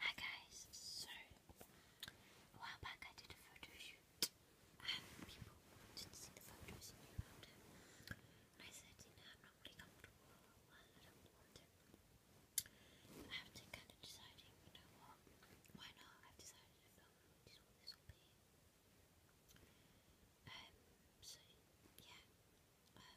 Hi guys, so a while back I did a photo shoot and people wanted to see the photos and knew about it. And I said, you know, I'm not really comfortable and I don't want it. But after kind of deciding, you know what, why not? I've decided to film this will um, so yeah, um,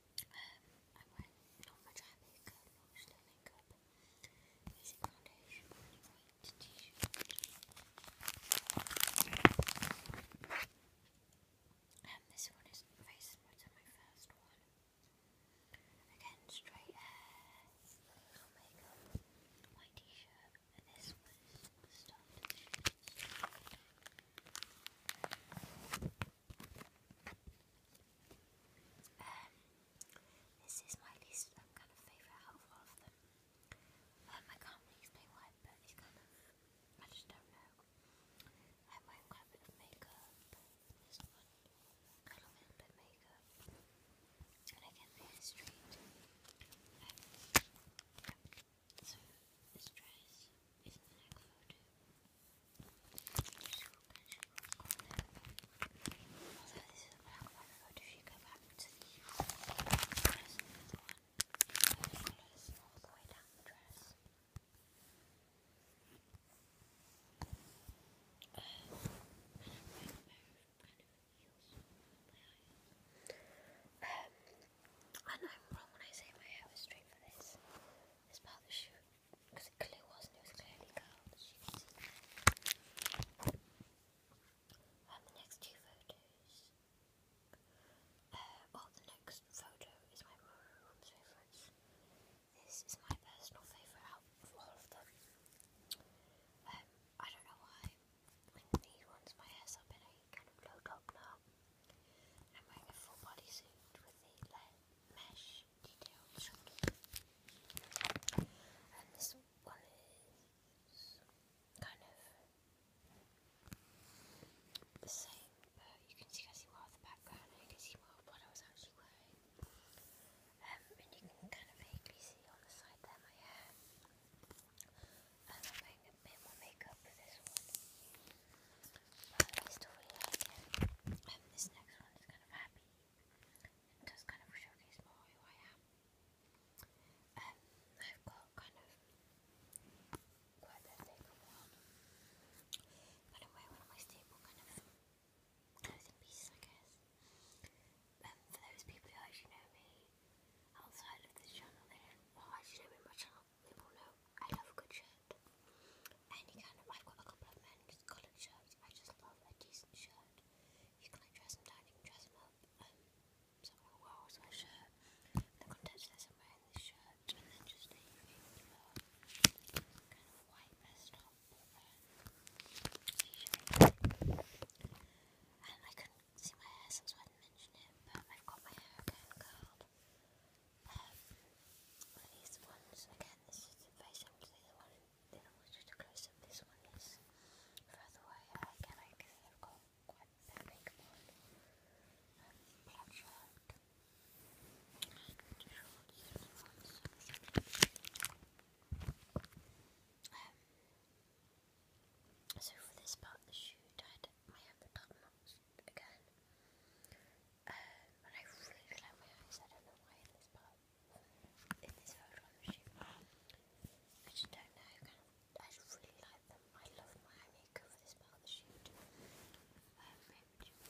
Um, I went normal dry makeup, not slow makeup, using foundation, white um, this one is very similar my first one. Again, straight hair, no makeup, white t-shirt, and this was stuffed. Straight. Um, this is my least kind of favourite out of all of them. Um, I but it's kind of, I just don't know. I'm wearing quite a bit of makeup. I love a bit of makeup. And I get the street. So this dress is the next photo. She will catch it on corner. this is a black one photo if you go back to the dress with one. Um, and I'm wrong when I say my hair was straight for this. This part of because it clearly wasn't. It was clearly curled. you um, the next two photos. Uh, the next photo is my room's favourites. This is my personal favourite out of all of them. Um, I don't know why, with me my hair's up in a kind of low top now. I'm wearing a full body suit with the mesh details. And this one is kind of the same, but you can see I see more of the background you can see more what I was actually wearing. Um, and you can kind of vaguely see on the side there my hair. And I'm wearing a bit more makeup for this one. But um, this next one is kind of happy. It kind of showcase more who I am. Um, I've got kind of quite a bit of But I'm one of my staple kind of clothes pieces, I guess. Um, for those people who know me outside of this channel, they don't well, actually know my channel, they will know I love a good shirt. Any kind I've got a couple of men's collared shirts, I just love a decent shirt. You can like dress them down, you can dress them up. Um, so I'm like, wow, shirt. The contents this, I'm this shirt, and then just a kind of white vest top. And I couldn't see my hair, so I didn't mention it, but I've got my hair curled. Um, these ones, again, this is very similar to the one, the other one's just a close up, this one is further away. Uh, again, I guess I've got quite a bit um, of um, so for this part of the shoot, I had my undercut knots again. Um, and I really like my I don't know why in this part, in this photo on the shoot. I just don't know, I just really like them. I love Miami cover this part of the shoot. Um, ripped.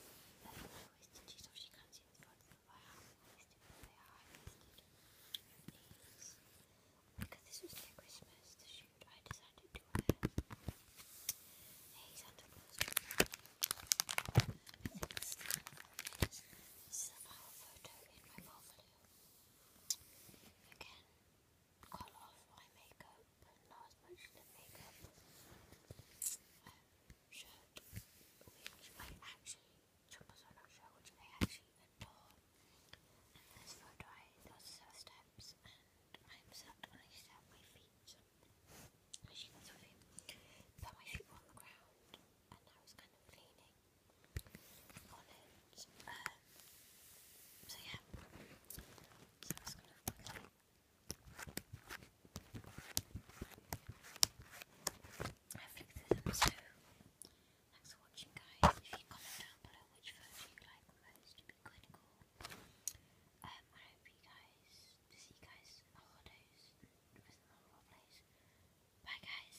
There's no wasted cheese off, she can't the front of my arm. Wasted, but they are wasted. Because this was their Christmas, the shoot, I decided to wear a Santa this is, a file photo in my portfolio. Again, colour off my makeup, but not as much lip makeup um, shirt, which I actually, jumpers on which I actually adore. And this photo, I, there steps, and I'm sat and I just have feet, as you can see, but my feet were on the ground, and I was kind of leaning on it, so yeah, thanks for watching guys. If you comment down below which version you like most, it'd be critical. Um, I hope you guys, see you guys on holidays and visit the holidays. Bye guys!